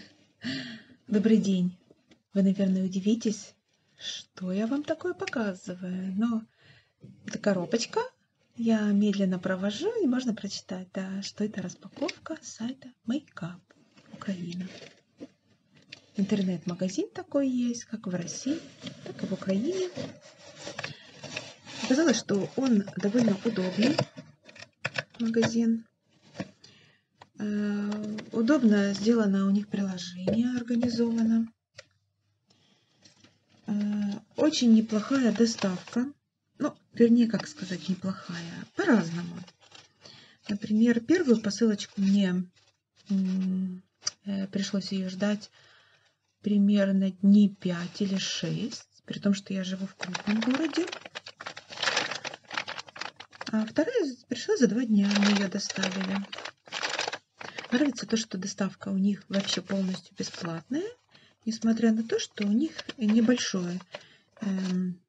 Добрый день. Вы, наверное, удивитесь, что я вам такое показываю. Но это коробочка. Я медленно провожу, и можно прочитать, да, что это распаковка сайта Makeup. Лап, Украина. Интернет-магазин такой есть, как в России, так и в Украине. Оказалось, что он довольно удобный магазин. Э, удобно сделано у них приложение, организовано. Э, очень неплохая доставка ну, вернее, как сказать, неплохая, по-разному. Например, первую посылочку мне э, пришлось ее ждать примерно дни 5 или 6, при том, что я живу в крупном городе. А вторая пришла за два дня, мы ее доставили. Нравится то, что доставка у них вообще полностью бесплатная, несмотря на то, что у них небольшое эм,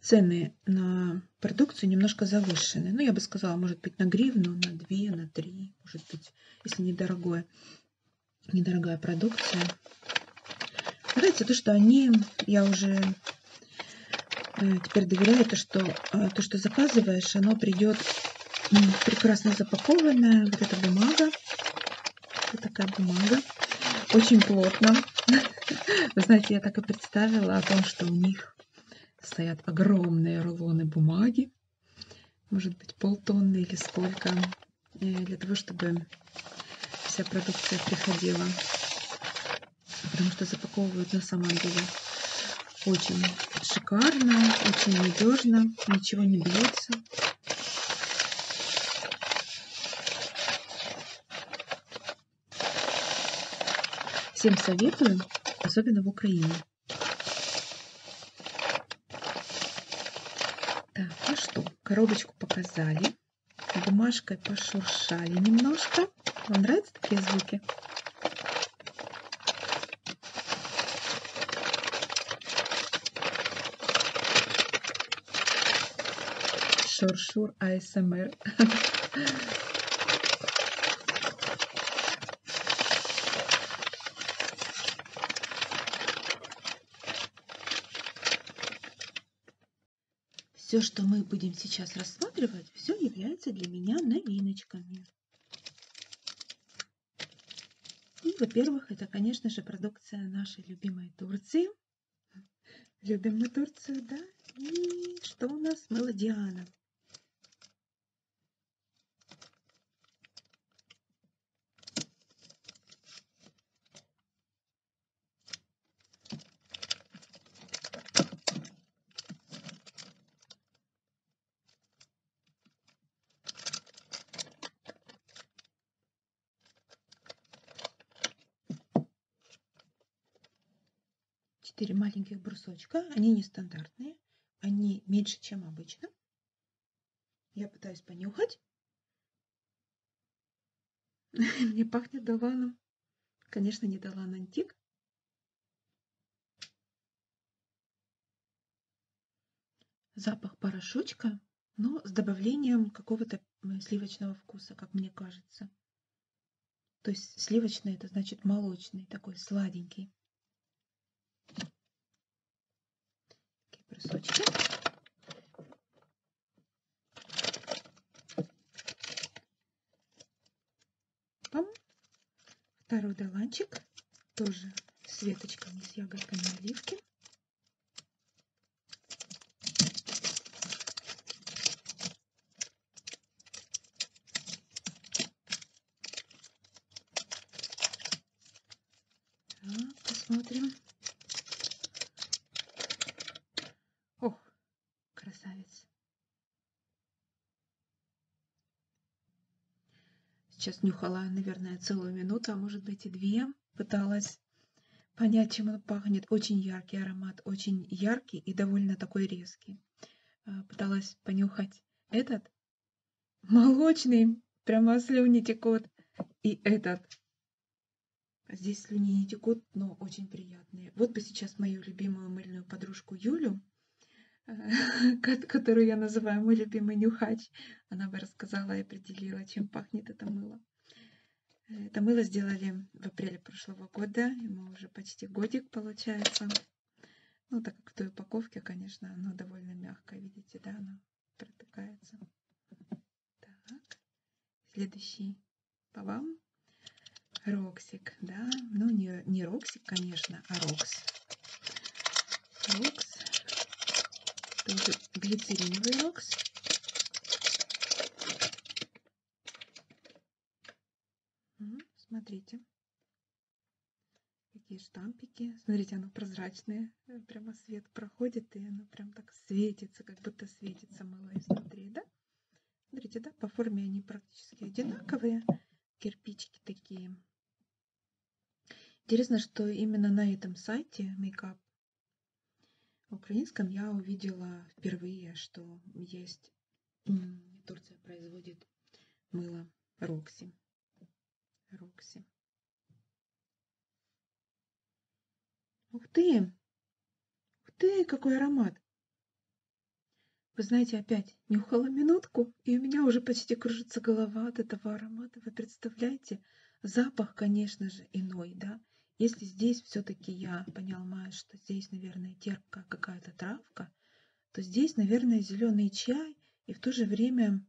Цены на продукцию немножко завышены. Ну, я бы сказала, может быть, на гривну, на две, на три, может быть, если недорогое, недорогая продукция. Нравится то, что они, я уже э, теперь доверяю, то, что э, то, что заказываешь, оно придет прекрасно запакованное, вот эта бумага вот такая бумага. Очень плотно. Вы знаете, я так и представила о том, что у них стоят огромные рулоны бумаги. Может быть, полтонны или сколько. Э, для того, чтобы вся продукция приходила. Потому что запаковывают на самом деле очень шикарно, очень надежно, ничего не бьется. Всем советую, особенно в Украине. Так, ну что, коробочку показали. Бумажкой пошуршали немножко. Вам нравятся такие звуки? Шуршур АСМР. Все, что мы будем сейчас рассматривать, все является для меня новиночками. И, ну, во-первых, это, конечно же, продукция нашей любимой Турции. Любим мы Турцию, да? И что у нас? Мелодиана. 4 маленьких брусочка. Они нестандартные. Они меньше, чем обычно. Я пытаюсь понюхать. Мне пахнет доланом. Конечно, не долан антик. Запах порошочка но с добавлением какого-то сливочного вкуса, как мне кажется. То есть сливочный это значит молочный, такой сладенький. Такие брусочки. Пам. Второй доланчик, тоже с веточками, с ягодками оливки. Так, посмотрим. Ох, красавец. Сейчас нюхала, наверное, целую минуту, а может быть и две пыталась понять, чем он пахнет. Очень яркий аромат, очень яркий и довольно такой резкий. А, пыталась понюхать этот молочный, прямо слюни текут. И этот. А здесь слюни не текут, но очень приятные. Вот бы сейчас мою любимую мыльную подружку Юлю, а, которую я называю мой любимый нюхач, она бы рассказала и определила, чем пахнет это мыло. Это мыло сделали в апреле прошлого года. Ему уже почти годик получается. Ну, так как в той упаковке, конечно, оно довольно мягкое. Видите, да, оно протыкается. Так, следующий по вам. Роксик, да. Ну, не, не Роксик, конечно, а Рокс. Рокс. Тоже глицериневый рокс. Смотрите, какие штампики. Смотрите, оно прозрачное, э, прямо свет проходит, и оно прям так светится, как будто светится мыло изнутри, да? Смотрите, да, по форме они практически одинаковые, кирпичики такие. Интересно, что именно на этом сайте Makeup в украинском я увидела впервые, что есть Турция производит мыло Рокси. Рокси. Ух ты! Ух ты, какой аромат! Вы знаете, опять нюхала минутку, и у меня уже почти кружится голова от этого аромата. Вы представляете? Запах, конечно же, иной, да. Если здесь все-таки я поняла, что здесь, наверное, терпкая какая-то травка, то здесь, наверное, зеленый чай и в то же время,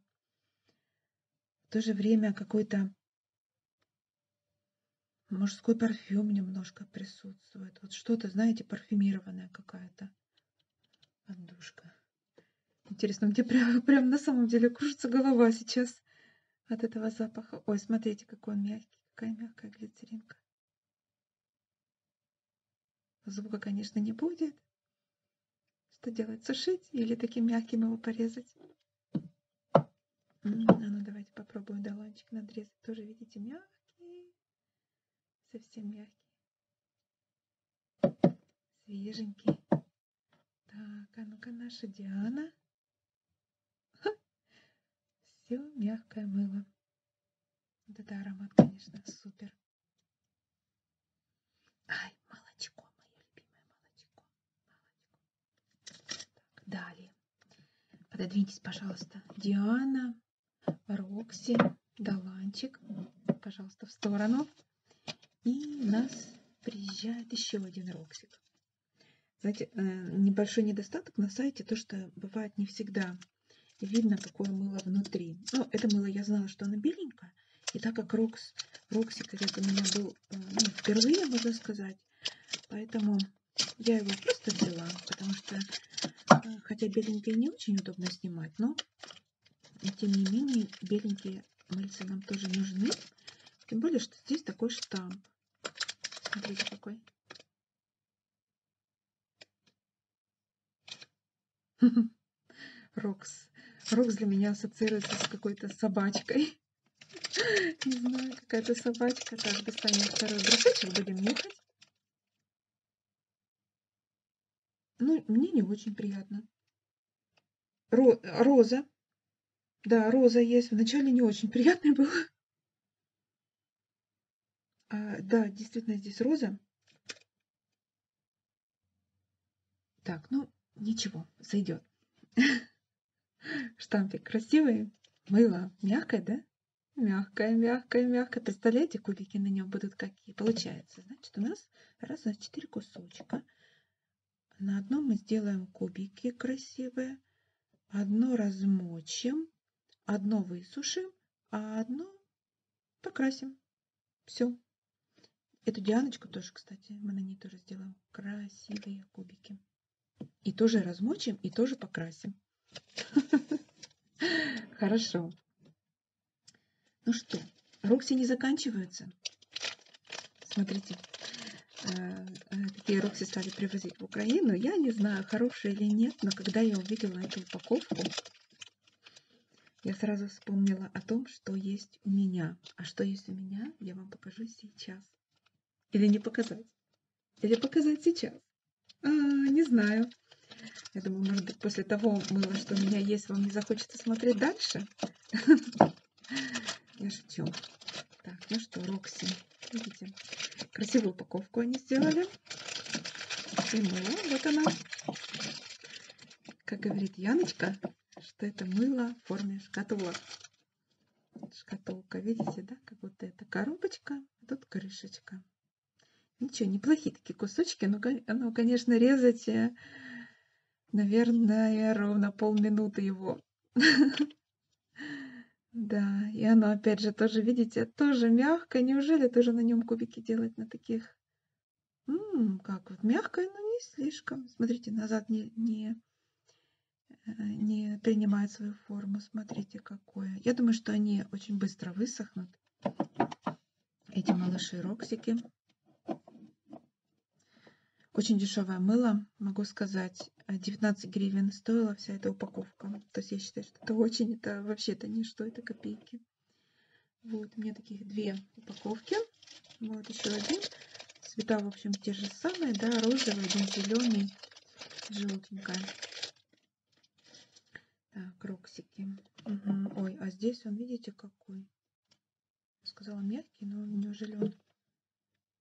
в то же время какой-то мужской парфюм немножко присутствует. Вот что-то, знаете, парфюмированная какая-то отдушка. Интересно, мне прям, прям на самом деле кружится голова сейчас от этого запаха. Ой, смотрите, какой он мягкий, какая мягкая глицеринка. Звука, конечно, не будет. Что делать, сушить или таким мягким его порезать? А ну, давайте попробуем долончик надрезать. Тоже, видите, мягкий. Совсем мягкий. Свеженький. Так, а ну-ка наша Диана. Ха! Все мягкое мыло. Да-да, аромат, конечно, супер. Ай, молочко, мое любимое молочко. молочко. Так, далее. Пододвиньтесь, пожалуйста. Диана, Рокси, Даланчик. Пожалуйста, в сторону. И у нас приезжает еще один роксик. Знаете, э, небольшой недостаток на сайте, то, что бывает не всегда видно, какое мыло внутри. Ну, это мыло я знала, что оно беленькое. И так как Рокс, Роксик это у меня был э, ну, впервые, можно сказать, поэтому я его просто взяла, потому что, э, хотя беленькое не очень удобно снимать, но но тем не менее, беленькие мыльцы нам тоже нужны. Тем более, что здесь такой штамп. Смотрите, какой. Рокс. Рокс для меня ассоциируется с какой-то собачкой. Не знаю, какая-то собачка. Так, достанем второй брусочек, будем нюхать. Ну, мне не очень приятно. Ро роза. Да, роза есть. Вначале не очень приятно было. А, да, действительно, здесь роза. Так, ну, ничего, зайдет. Штампик красивый. Мыло мягкое, да? Мягкое, мягкое, мягкое. Представляете, кубики на нем будут какие? Получается, значит, у нас раз, два, четыре кусочка. На одном мы сделаем кубики красивые, одно размочим, одно высушим, а одно покрасим. Все. Эту Дианочку тоже, кстати, мы на ней тоже сделаем красивые кубики. И тоже размочим, и тоже покрасим. Хорошо. Ну что, рокси не заканчиваются. Смотрите, какие э, э, рокси стали привозить в Украину. Я не знаю, хорошие или нет, но когда я увидела эту упаковку, я сразу вспомнила о том, что есть у меня. А что есть у меня, я вам покажу сейчас. Или не показать. Или показать сейчас. А, не знаю. Я думаю, может быть, после того мыла, что у меня есть, вам не захочется смотреть дальше. Я шучу. Так, ну что, Рокси. Видите, красивую упаковку они сделали. И мыло, вот она. Как говорит Яночка, что это мыло в форме шкатулок. Шкатулка, видите, да? Как будто это коробочка, а тут крышечка. Ничего, неплохие такие кусочки, но, ну, конечно, резать э, наверное, ровно полминуты его. Да, и оно опять же тоже, видите, тоже мягкое. Неужели тоже на нем кубики делать на таких? Ммм, как вот мягкое, но не слишком. Смотрите, назад не, не, э, не принимает свою форму. Смотрите, какое. Я думаю, что они очень быстро высохнут. Эти малыши-роксики. Очень дешевое мыло, могу сказать, 19 а, гривен стоила вся эта упаковка. То есть я считаю, что это очень, это вообще это не что, это копейки. Вот, у меня таких две упаковки. Вот еще один. Цвета, в общем, те же самые, да, розовый, один зеленый, желтенькая. Так, роксики. Угу. Ой, а здесь он, видите, какой? сказала мягкий, но неужели он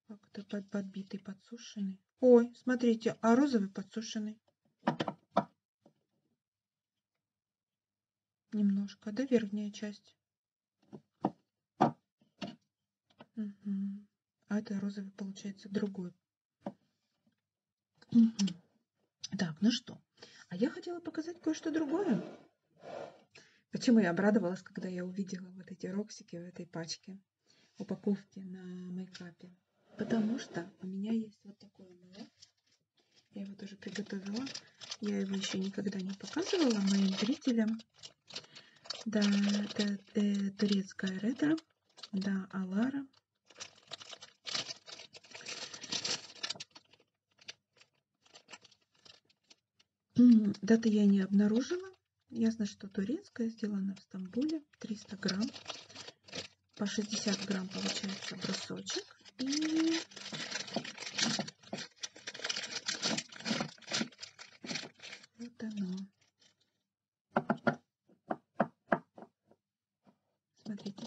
как-то под, подбитый, подсушенный? Ой, смотрите, а розовый подсушенный. Немножко, да, верхняя часть? Угу. А это розовый, получается, другой. Угу. Так, ну что, а я хотела показать кое-что другое. Почему я обрадовалась, когда я увидела вот эти роксики в этой пачке, упаковки на мейкапе? Потому что у меня есть вот такой амулет. Я его тоже приготовила. Я его еще никогда не показывала моим зрителям. Да, это э, турецкая ретро. Да, Алара. Даты я не обнаружила. Ясно, что турецкая сделана в Стамбуле. 300 грамм. По 60 грамм получается брусочек. И вот оно. Смотрите.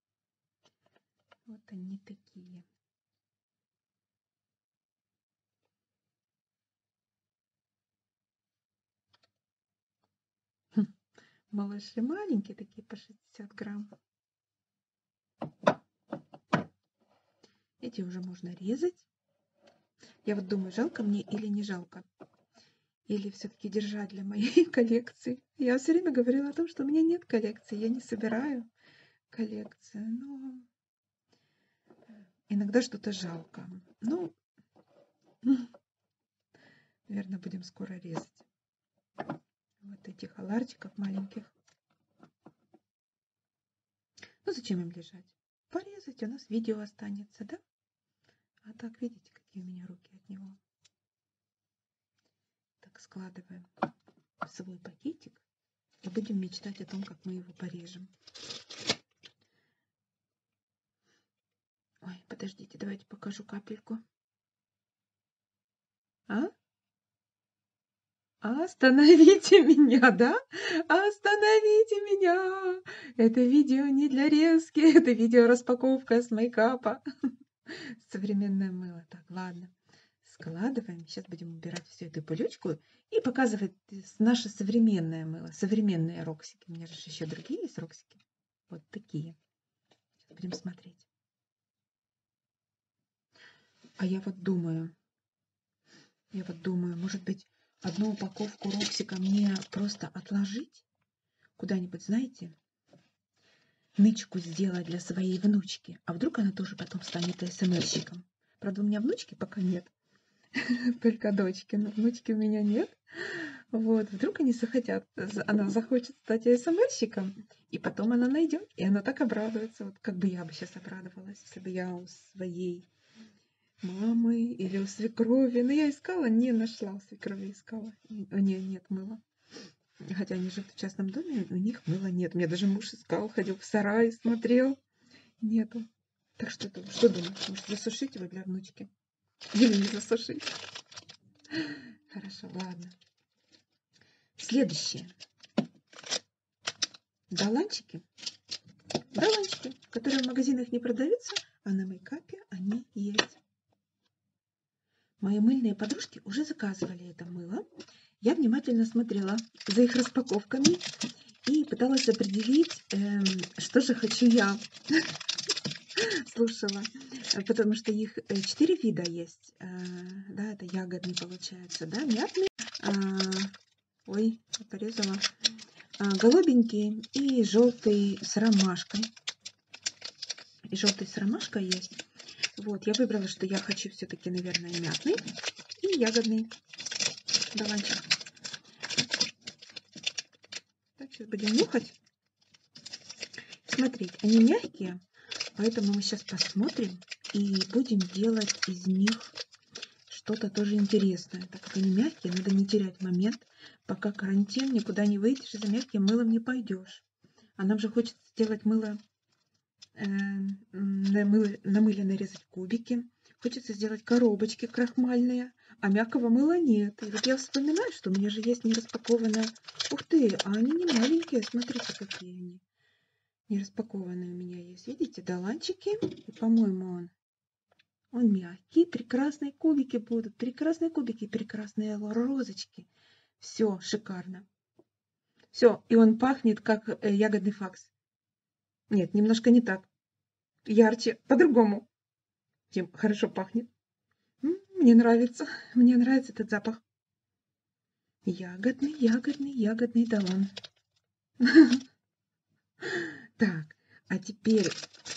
Вот они такие. Хм, малыши маленькие, такие по 60 грамм. Эти уже можно резать. Я вот думаю, жалко мне или не жалко. Или все-таки держать для моей коллекции коллекции. Я все время говорила о том, что у меня нет коллекции, я не собираю коллекцию, но иногда что-то жалко. Ну, наверное, будем скоро резать вот этих аларчиков маленьких. Ну, зачем им лежать? Порезать, у нас видео останется, да? А так, видите, какие у меня руки от него. Так, складываем в свой пакетик и будем мечтать о том, как мы его порежем. Ой, подождите, давайте покажу капельку. А? а остановите меня, да? А, остановите меня! Это видео не для резки, это видео распаковка с мейкапа. современное мыло. Так, ладно, складываем. Сейчас будем убирать всю эту пылючку. И показывать э, наше современное мыло, современные роксики. У меня же еще другие есть роксики. Вот такие. Сейчас будем смотреть. А я вот думаю, я вот думаю, может быть, одну упаковку роксика мне просто отложить куда-нибудь, знаете, нычку сделать для своей внучки. А вдруг она тоже потом станет СМСчиком? Правда, у меня внучки пока нет. Только дочки. Но внучки у меня нет. Вот. Вдруг они захотят, она захочет стать СМСчиком, и потом она найдет, и она так обрадуется. Вот как бы я бы сейчас обрадовалась, если бы я у своей мамы или у свекрови. Но я искала, не нашла у свекрови, искала. У нее нет мыла. Хотя они живут в частном доме, у них мыла нет. У меня даже муж искал, ходил в сарай, смотрел. Нету. Так что, что думаешь, может засушить его для внучки? Или не засушить? Хорошо, ладно. Следующее. Доланчики. Доланчики, которые в магазинах не продаются, а на мейкапе они есть. Мои мыльные подружки уже заказывали это мыло. Я внимательно смотрела за их распаковками и пыталась определить, эм, что же хочу я. Слушала, э, потому что их э, четыре вида есть. Э, да, это ягодный получается, да, мятный. Э, ой, порезала. Э, голубенький и желтый с ромашкой. И желтый с ромашкой есть. Вот, я выбрала, что я хочу все-таки, наверное, мятный и ягодный даванчик. Так, сейчас будем нюхать. Смотреть, они мягкие, поэтому мы сейчас посмотрим и будем делать из них что-то тоже интересное. Так как они мягкие, надо не терять момент, пока карантин, никуда не выйдешь, и за мягким мылом не пойдешь тушь. А нам же хочется сделать мыло, э, на, мыло на мыле нарезать кубики. Хочется сделать коробочки крахмальные, а мягкого мыла нет. И вот я вспоминаю, что у меня же есть нераспакованное. Ух ты, а они не маленькие, смотрите, какие они. Нераспакованные у меня есть. Видите, доланчики. И, по-моему, он он мягкий, прекрасные кубики будут, прекрасные кубики, прекрасные розочки ягодки. Все шикарно. Все, и он пахнет, как э, ягодный факс. Нет, немножко не так. Ярче, по-другому. Тем хорошо пахнет. Мне нравится, мне нравится этот запах. Ягодный, ягодный, ягодный, да он. Так, а теперь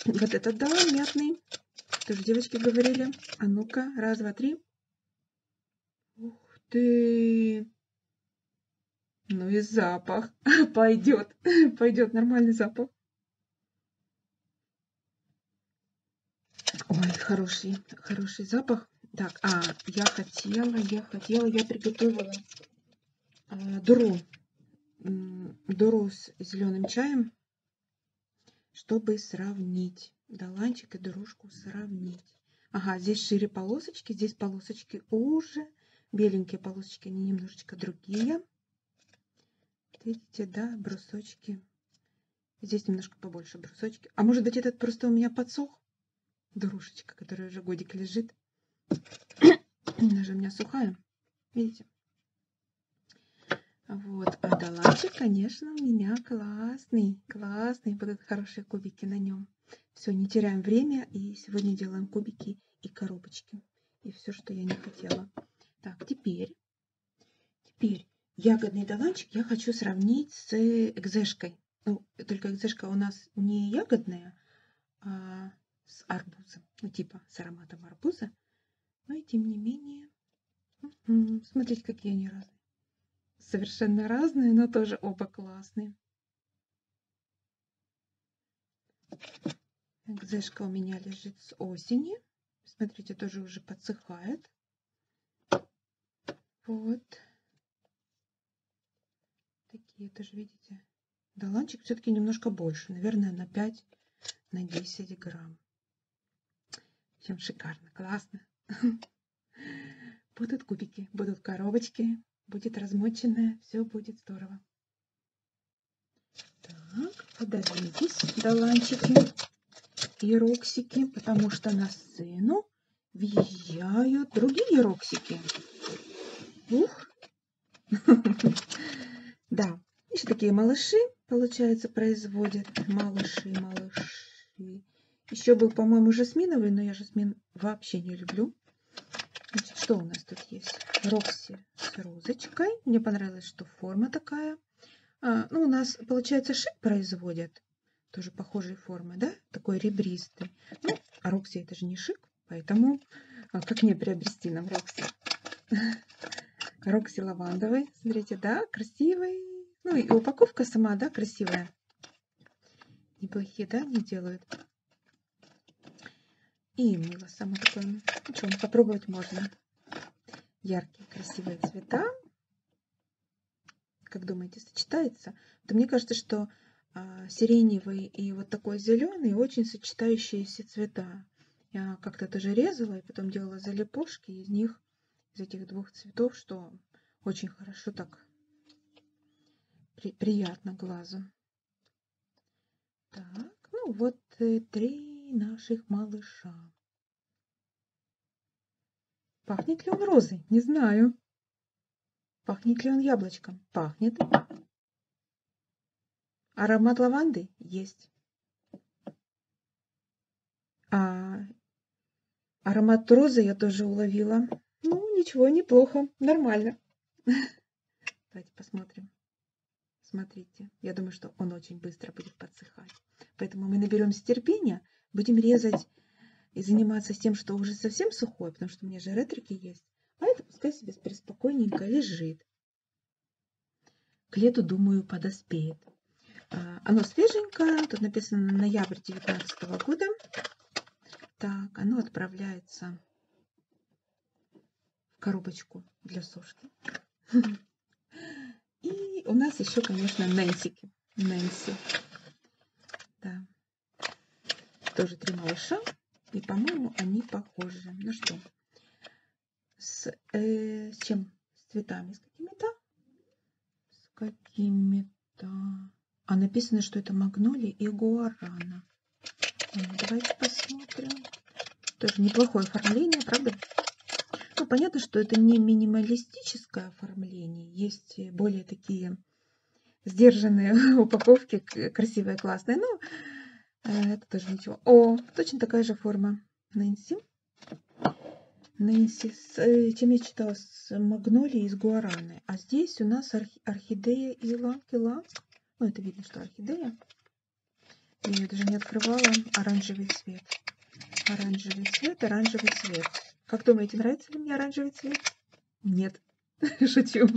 вот этот да, мятный. Тоже девочки говорили. А ну-ка, раз, два, три. Ух ты! Ну и запах. Пойдет. Пойдет нормальный запах. Ой, хороший, хороший запах. Так, а, я хотела, я хотела, я приготовила э, дуру. Дуру с зеленым чаем чтобы сравнить. Доланчик и дорожку сравнить. Ага, здесь шире полосочки, здесь полосочки уже. Беленькие полосочки, они немножечко другие. Видите, да, брусочки. Здесь немножко побольше брусочки. А может быть, этот просто у меня подсох? Дорожечка, которая уже годик лежит. Она же у меня сухая. Видите? Вот, а доланчик, конечно, у меня классный, классный, будут хорошие кубики на нем. Все, не теряем время, и сегодня делаем кубики и коробочки. И все, что я не хотела. Так, теперь, теперь ягодный доланчик я хочу сравнить с экзешкой. Ну, только экзешка у нас не ягодная, а с арбузом, ну, типа с ароматом арбуза. Но и тем не менее Смотрите, какие они разные. Совершенно разные, но тоже оба классные. Экзешка у меня лежит с осени. Смотрите, тоже уже подсыхает. Вот. Такие тоже, видите. Доланчик все-таки немножко больше. Наверное, на 5, на 10 грамм. Чем шикарно, классно. Будут кубики, будут коробочки, будет размоченное, все будет здорово. Так, подождитесь, доланчики и роксики, потому что на сцену въезжают другие роксики. Ух! Да, еще такие малыши, получается, производят. Малыши, малыши. Еще был, по-моему, жасминовый, но я жасмин вообще не люблю. Значит, что у нас тут есть? Рокси с розочкой. Мне понравилось, что форма такая. А, ну, у нас, получается, шип производят. Тоже похожие формы, да? Такой ребристый. Ну, а Рокси это же не шик, поэтому а как мне приобрести нам Рокси? Рокси лавандовый. Смотрите, да, красивый. Ну и упаковка сама, да, красивая. Неплохие, да, не делают. И мыло само такое. Ну что, попробовать можно. Яркие, красивые цвета. Как думаете, сочетается? Да мне кажется, что а, сиреневый и вот такой зеленый очень сочетающиеся цвета. Я как-то даже резала и потом делала залепушки из них, из этих двух цветов, что очень хорошо так при, приятно глазу. Так, ну вот три наших малыша. Пахнет ли он розой? Не знаю. Пахнет ли он яблочком? Пахнет. Аромат лаванды есть. А аромат розы я тоже уловила. Ну, ничего, неплохо, нормально. Давайте посмотрим. Смотрите, я думаю, что он очень быстро будет подсыхать. Поэтому мы наберемся терпения, будем резать и заниматься тем, что уже совсем сухой, потому что у меня же ретрики есть. А это пускай себе преспокойненько лежит. К лету, думаю, подоспеет. А, оно свеженькое, тут написано ноябрь 2019 года. Так, оно отправляется в коробочку для сушки. И у нас еще, конечно, Нэнсики. Нэнси. Да. Тоже три малыша. И, по-моему, они похожи. Ну что, с, э, с чем? С цветами. С какими-то? С какими-то. А написано, что это магнолия и гуарана. Давайте посмотрим. Тоже неплохое оформление, правда? Ну, понятно, что это не минималистическое оформление. Есть э, более такие сдержанные упаковки, красивые, классные. Но Э, это тоже ничего. О, точно такая же форма. Нэнси. Нэнси. С, э, чем я читала? С магнолии из гуараны. А здесь у нас орхи, орхидея и лакила. Ну, это видно, что орхидея. Я ее даже не открывала. Оранжевый цвет. Оранжевый цвет, оранжевый цвет. Как думаете, нравится ли мне оранжевый цвет? Нет. Шучу.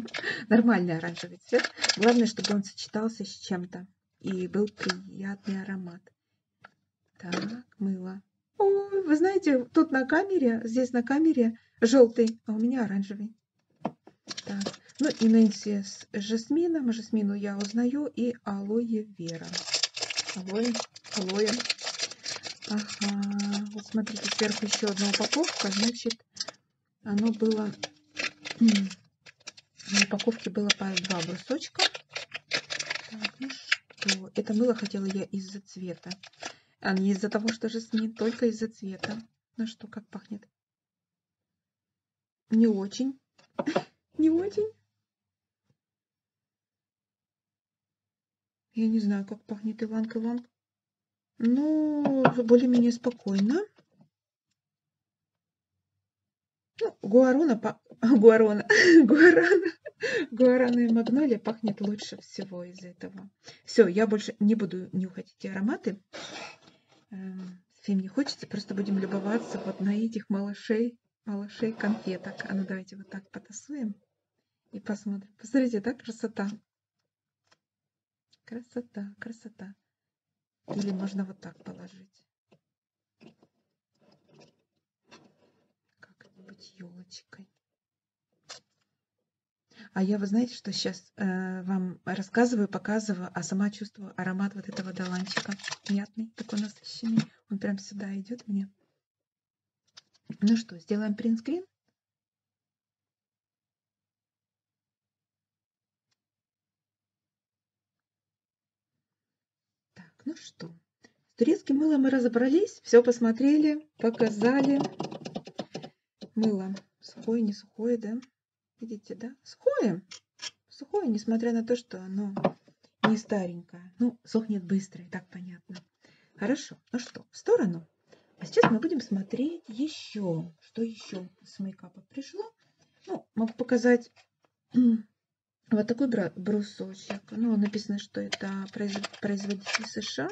Нормальный оранжевый цвет. Главное, чтобы он сочетался с чем-то и был приятный аромат. Так, мыло. Ой, вы знаете, тут на камере, здесь на камере желтый, а у меня оранжевый. Так, ну и Нэнси с жасмином. Жасмину я узнаю. И алоэ вера. Алоэ, алоэ. Ага, вот смотрите, сверху еще одна упаковка. Значит, оно было... В упаковке было по два брусочка. Так, ну что? Это мыло хотела я из-за цвета. А не из-за того, что жасмин, только из-за цвета. Ну что, как пахнет? Не очень. Не очень. Я не знаю, как пахнет Иланг-Иланг. Ну, более-менее спокойно. Ну, гуарона, гуарона, гуарана, гуарана и магнолия пахнет лучше всего из этого. Все, я больше не буду нюхать эти ароматы. Всем эм, не хочется, просто будем любоваться вот на этих малышей, малышей конфеток. А ну давайте вот так потасуем и посмотрим. Посмотрите, да, красота. Красота, красота. Или можно вот так положить. Как-нибудь елочкой. А я, вы знаете, что сейчас э, вам рассказываю, показываю, а сама чувствую аромат вот этого доланчика. Мятный, такой насыщенный. Он прям сюда идет мне. Ну что, сделаем принтскрин? Так, ну что, с турецким мылом мы разобрались, все посмотрели, показали. Мыло сухое, не сухое, да? Видите, да? Сухое. Сухое, несмотря на то, что оно не старенькое. Ну, сохнет быстро, и так понятно. Хорошо, ну что, в сторону. А сейчас мы будем смотреть еще, что еще с мейкапа пришло. Ну, еще могу показать вот такой брусочек. Ну, написано, что это производитель США.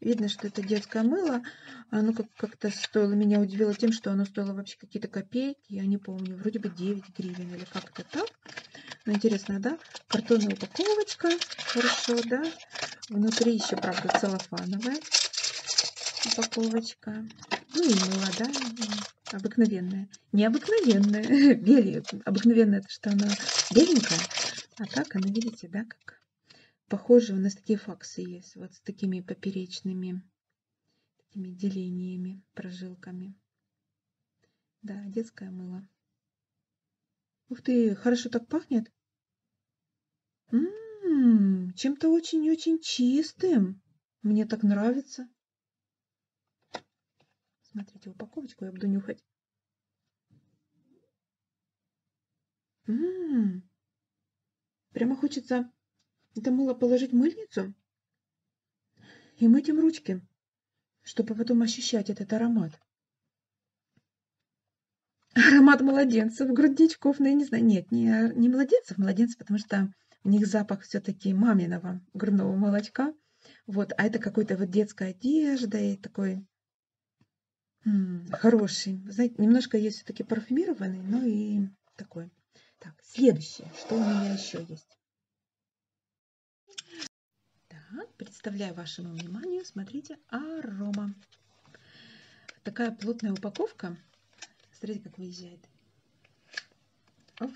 Видно, что это детское мыло. Оно как-то стоило, меня удивило тем, что оно стоило вообще какие-то копейки. Я не помню, вроде бы 9 гривен или как-то так. Ну, интересно, да? Картонная упаковочка. Хорошо, да? Внутри еще, правда, целлофановая упаковочка водичка. Ну и молодая, обыкновенная. Необыкновенная. Бель, обыкновенная, это что она беленькая. А так она, видите, да, как похоже, у нас такие факсы есть. Вот с такими поперечными такими делениями, прожилками. Да, детское мыло. Ух ты, хорошо так пахнет. Ммм, чем-то очень-очень чистым. Мне так нравится. Смотрите упаковочку, я буду нюхать. Ммм, прямо хочется это мыло положить в мыльницу и мыть им ручки, чтобы потом ощущать этот аромат. Аромат младенцев, грудничков, ну я не знаю, нет, не, не младенцев, младенцев нравится, потому что у них запах все-таки маминого грудного молочка. Вот, а это какой-то вот детская одежда и такой м -м, хороший. Вы знаете, немножко есть все-таки парфюмированный, но и такой. Так, следующее, что у меня еще есть. Так, представляю вашему вниманию, смотрите, арома. Такая плотная упаковка, Смотрите, как выезжает. Оп.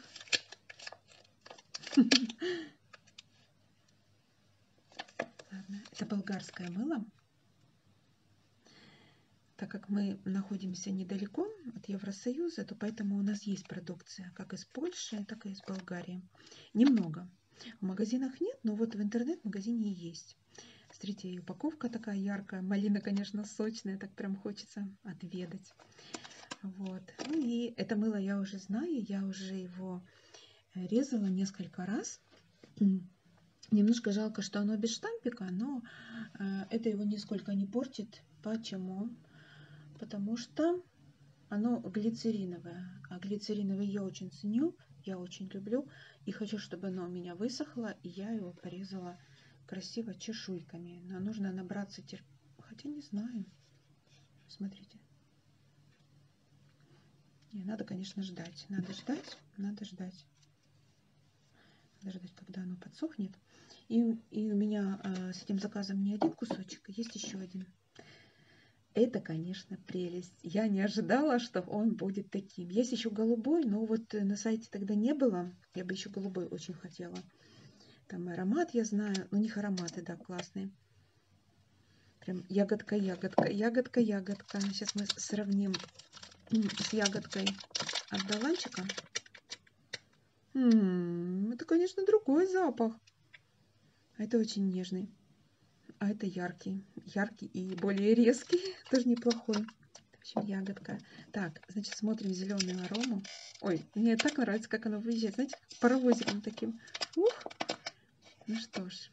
Ладно. Это болгарское мыло. Так как мы находимся недалеко от Евросоюза, то поэтому у нас есть продукция как из Польши, так и из Болгарии. Немного. В магазинах нет, но вот в интернет-магазине есть есть. Смотрите, и упаковка такая яркая. Малина, конечно, сочная, так прям хочется отведать. Вот. Ну и это мыло я уже знаю, я уже его резала несколько раз. Немножко жалко, что оно без штампика, но э, это его нисколько не портит. Почему? Потому что оно глицериновое. А глицериновое я очень ценю, я очень люблю. И хочу, чтобы оно у меня высохло, и я его порезала красиво чешуйками. Но нужно набраться терпения. Хотя не знаю. Смотрите. Не, надо, конечно, ждать. Надо ждать, надо ждать. Надо ждать, когда оно подсохнет. И, и у меня э, с этим заказом не один кусочек, есть еще один. Это, конечно, прелесть. Я не ожидала, что он будет таким таким. Есть еще голубой, но вот э, на сайте тогда не было. Я бы еще голубой очень хотела. Там аромат я знаю, но ну, у них ароматы, да, классные. Прям ягодка, ягодка, ягодка, ягодка. Сейчас ну, мы сравним с ягодкой от Даланчика. М -м -м, это, конечно, другой запах. А это очень нежный. А это яркий. Яркий и более резкий. Тоже неплохой. В общем, ягодка. Так, значит, смотрим зеленую арому. Ой, мне так нравится, как она выезжает. Знаете, паровозиком таким. Ух! Ну что ж.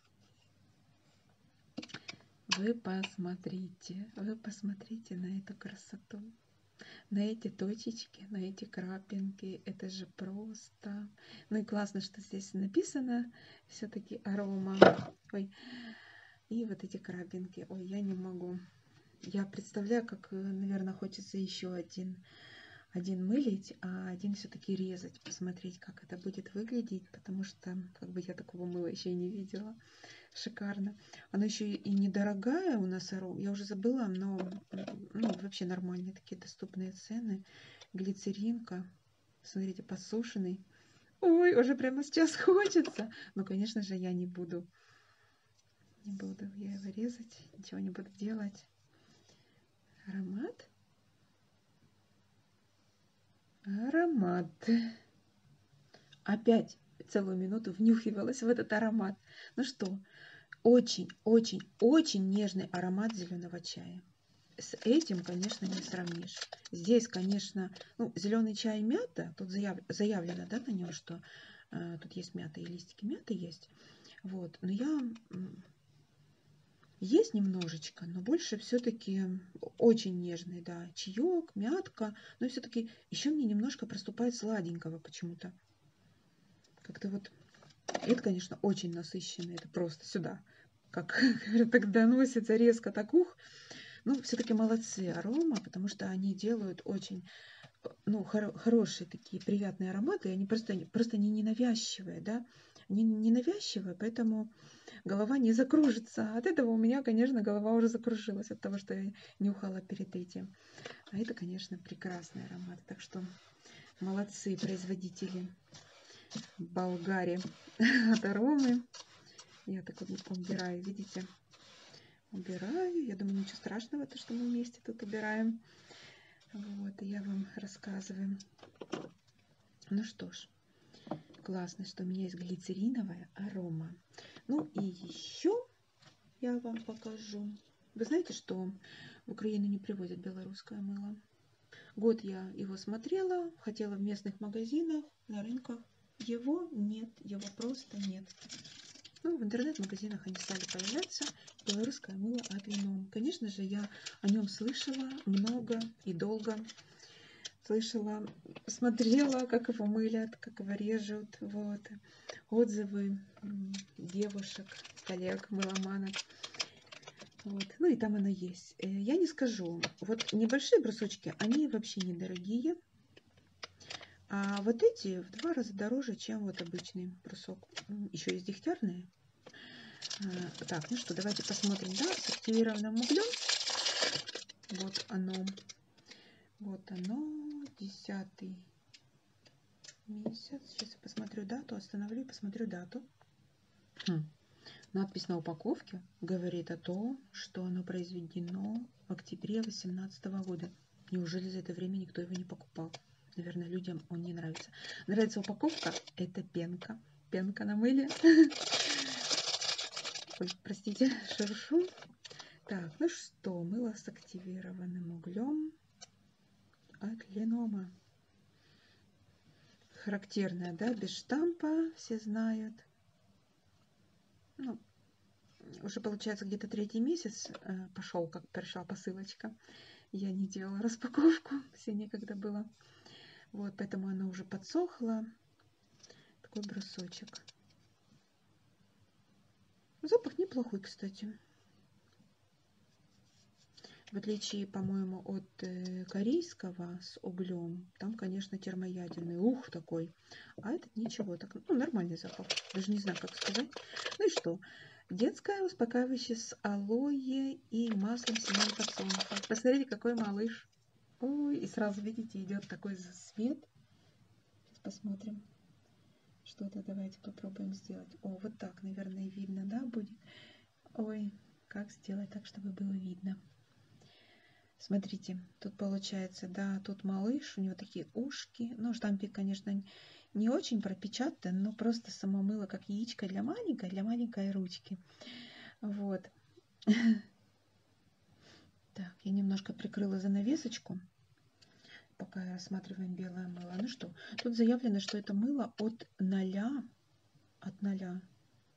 Вы посмотрите, вы посмотрите на эту красоту. На эти точечки, на эти крапинки, это же просто. Ну и классно, что здесь написано все-таки арома. Ой, и вот эти крапинки. Ой, я не могу. Я представляю, как, э, наверное, хочется еще один, один мылить, а один все-таки резать, посмотреть, как это будет выглядеть, потому что как бы я такого мыла еще и не видела. Шикарно. Оно еще и недорогая у нас, я уже забыла, но ну, вообще нормальные такие доступные цены. Глицеринка Смотрите, посушенный. Ой, уже прямо сейчас хочется. Ну, конечно же, я не буду. Не буду я его резать. Ничего не буду делать. Аромат. Аромат. Опять целую минуту внюхивалась в этот аромат. Ну что, очень, очень, очень нежный аромат зеленого чая. С этим, конечно, не сравнишь. Здесь, конечно, ну, зеленый чай мята, тут заяв, заявлено да, на нем, что э, тут есть мята и листики мяты есть. Вот, но я есть немножечко, но больше все-таки очень нежный, да, чаек, мятка, но все-таки еще мне немножко проступает сладенького почему-то. Как-то вот, это, конечно, очень насыщенно, это просто сюда как так доносится резко, так ух. Ну, все-таки молодцы арома, потому что они делают очень ну, хор- хорошие такие приятные ароматы, и они просто, просто не ненавязчивые, да, не, не навязчивые, поэтому голова не закружится. От этого у меня, конечно, голова уже закружилась, от того, что я нюхала перед этим. А это, конечно, прекрасный аромат. Так что молодцы производители Болгарии от аромы. Я так вот убираю, видите? Убираю. Я думаю, ничего страшного, то, что мы вместе тут убираем. Вот, и я вам рассказываю. Ну что ж, классно, что у меня есть глицериновая арома. Ну и еще я вам покажу. Вы знаете, что в Украину не привозят белорусское мыло? Год я его смотрела, хотела в местных магазинах, на рынках. Его нет, его просто нет. Ну, в интернет-магазинах они стали появляться. Белорусское мыло от Веном. Конечно же, я о нем слышала много и долго. Слышала, смотрела, как его мылят, как его режут. Вот. Отзывы девушек, коллег, мыломанок. Вот. Ну и там она есть здесь, э, я не скажу, вот небольшие брусочки, они вообще недорогие. А вот эти в два раза дороже, чем вот обычный брусок. Еще есть дегтярные. А, так, ну что, давайте посмотрим, да, с активированным углем. Вот оно. Вот оно, десятый месяц. Сейчас я посмотрю дату, остановлю и посмотрю дату. Хм. Надпись на упаковке говорит о том, что оно произведено в октябре 2018 года. Неужели за это время никто его не покупал? Наверное, людям он не нравится. Нравится упаковка? Это пенка. Пенка на мыле. Ой, простите, шуршу. Так, ну что, мыло с активированным углем от Ленома. Характерное, да, без штампа, все знают ну, уже получается где-то третий месяц э, пошел, как пришла посылочка. Я не делала распаковку, все некогда было. Вот, поэтому она уже подсохла. Такой брусочек. Запах неплохой, кстати. В отличие, по-моему, от вот э, корейского с углем, там, конечно, термоядерный, ух такой. А этот ничего, так, ну, нормальный запах, даже не знаю, как сказать. Ну и что? Детское успокаивающее с алоэ и маслом семян подсолнуха. Посмотрите, какой малыш. Ой, и сразу, видите, идет такой свет. Сейчас посмотрим. Что-то давайте попробуем сделать. О, вот так, наверное, видно, да, будет? Ой, как сделать так, чтобы было видно? Смотрите, тут получается, да, тут малыш, у него такие ушки. Ну, штампик, конечно, не очень пропечатан, но просто самомыло, как яичко для маленькой, для маленькой ручки. Вот. Так, я немножко прикрыла занавесочку, пока рассматриваем белое мыло. Ну что, тут заявлено, что это мыло от 0 от ноля.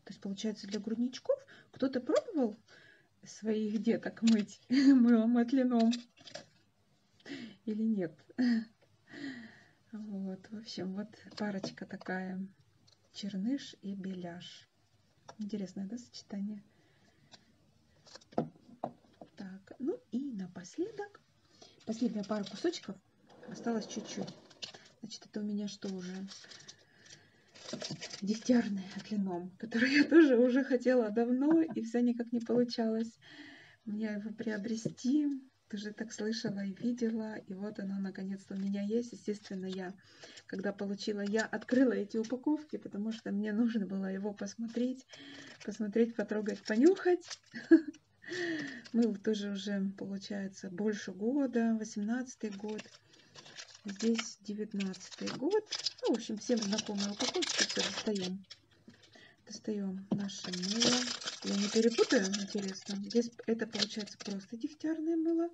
То есть, получается, для грудничков кто-то пробовал своих деток мыть мылом от лином или нет? Вот, в общем, вот парочка такая. Черныш и беляш. Интересное, да, сочетание? Так, ну и напоследок, последняя пара кусочков Осталось чуть-чуть. Значит, это у меня что уже? Десятиарный отлином, который я тоже уже хотела давно, и все никак не получалось мне его приобрести. Ты же так слышала и видела, и вот оно наконец-то у меня есть. Естественно, я, когда получила, я открыла эти упаковки, потому что мне нужно было его посмотреть, посмотреть, потрогать, понюхать. Мы ну, тоже уже, получается, больше года, 18 год. Здесь 19 год. Ну, в общем, всем знакомые упаковки. Все, достаем. Достаем наше мыло. Я не перепутаю, интересно. Здесь это, получается, просто дегтярное мыло.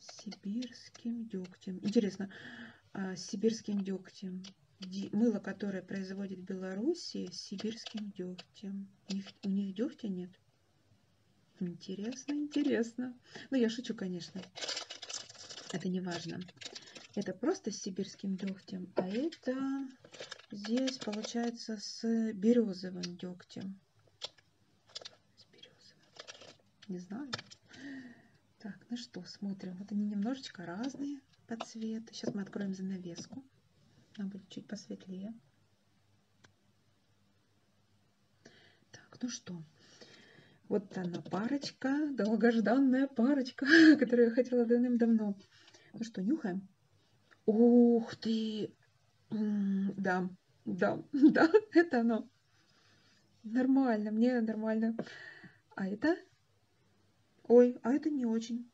С сибирским дегтем. Интересно, а, с сибирским дегтем мыло, которое производит Белоруссия, с сибирским дегтем. У них, у них дегтя нет. Интересно, интересно. Ну, я шучу, конечно. Это не важно. Это просто с сибирским дегтем, а это здесь получается с березовым дегтем. С березовым. Не знаю. Так, ну что, смотрим. Вот они немножечко разные по цвету. Сейчас мы откроем занавеску. Она будет чуть посветлее. Так, ну что, вот она парочка, долгожданная парочка, которую я хотела давным-давно. Ну что, нюхаем? Ух ты! Да, да, да, это оно. Нормально, мне нормально. А это? Ой, а это не очень.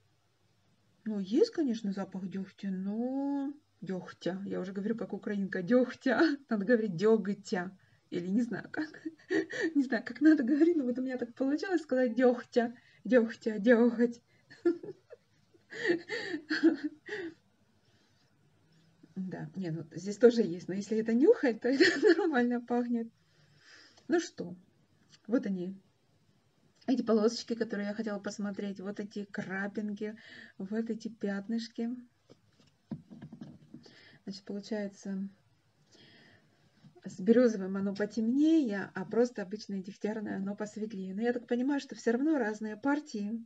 Ну, есть, конечно, запах дегтя, но дегтя. Я уже говорю, как украинка, дегтя. Надо говорить дегтя. Или не знаю как. не знаю, как надо говорить, но вот у меня так получилось сказать дегтя, дегтя, деготь. да, не, ну здесь тоже есть, но если это нюхать, то это нормально пахнет. Ну что, вот они, эти полосочки, которые я хотела посмотреть, вот эти крапинки, вот эти пятнышки. Значит, получается, с березовым оно потемнее, а просто обычное дегтярное оно посветлее. Но я так понимаю, что все равно разные партии,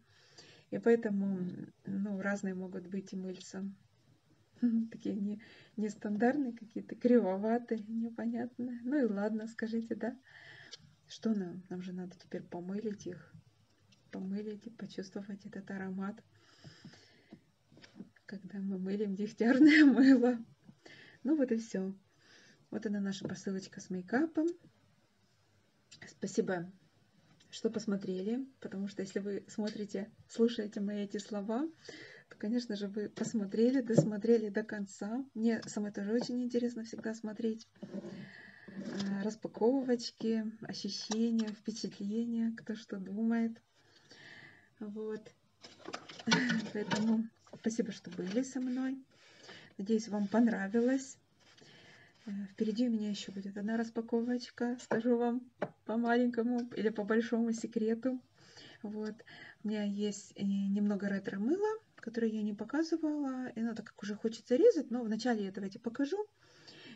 и поэтому ну, разные могут быть и мыльца. Такие не, нестандартные какие-то, кривоватые, непонятные. Ну и ладно, скажите, да? Что нам? Нам же надо теперь помылить их. Помылить и почувствовать этот аромат, когда мы мылим дегтярное мыло. Ну вот и все. Вот она наша посылочка с мейкапом. Спасибо, что посмотрели, потому что если вы смотрите, слушаете мои эти слова, то, конечно же, вы посмотрели, досмотрели до конца. Мне самой тоже очень интересно всегда смотреть рассказывать э, распаковочки, ощущения, впечатления, кто что думает. Вот. Поэтому спасибо, что были со мной. Надеюсь, вам понравилось. Э, впереди у меня еще будет одна распаковочка. Скажу вам по маленькому или по большому секрету. Вот. У меня есть э, немного ретро-мыла которые я не показывала. И она так как уже хочет зарезать, но вначале я давайте покажу.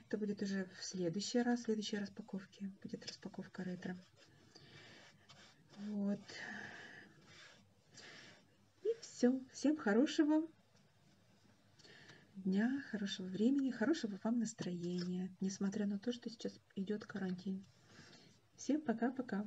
Это будет уже в следующий раз, в следующей распаковке. Будет распаковка ретро. Вот. И все. Всем хорошего дня, хорошего времени, хорошего вам настроения, несмотря на то, что сейчас идет карантин. Всем пока-пока.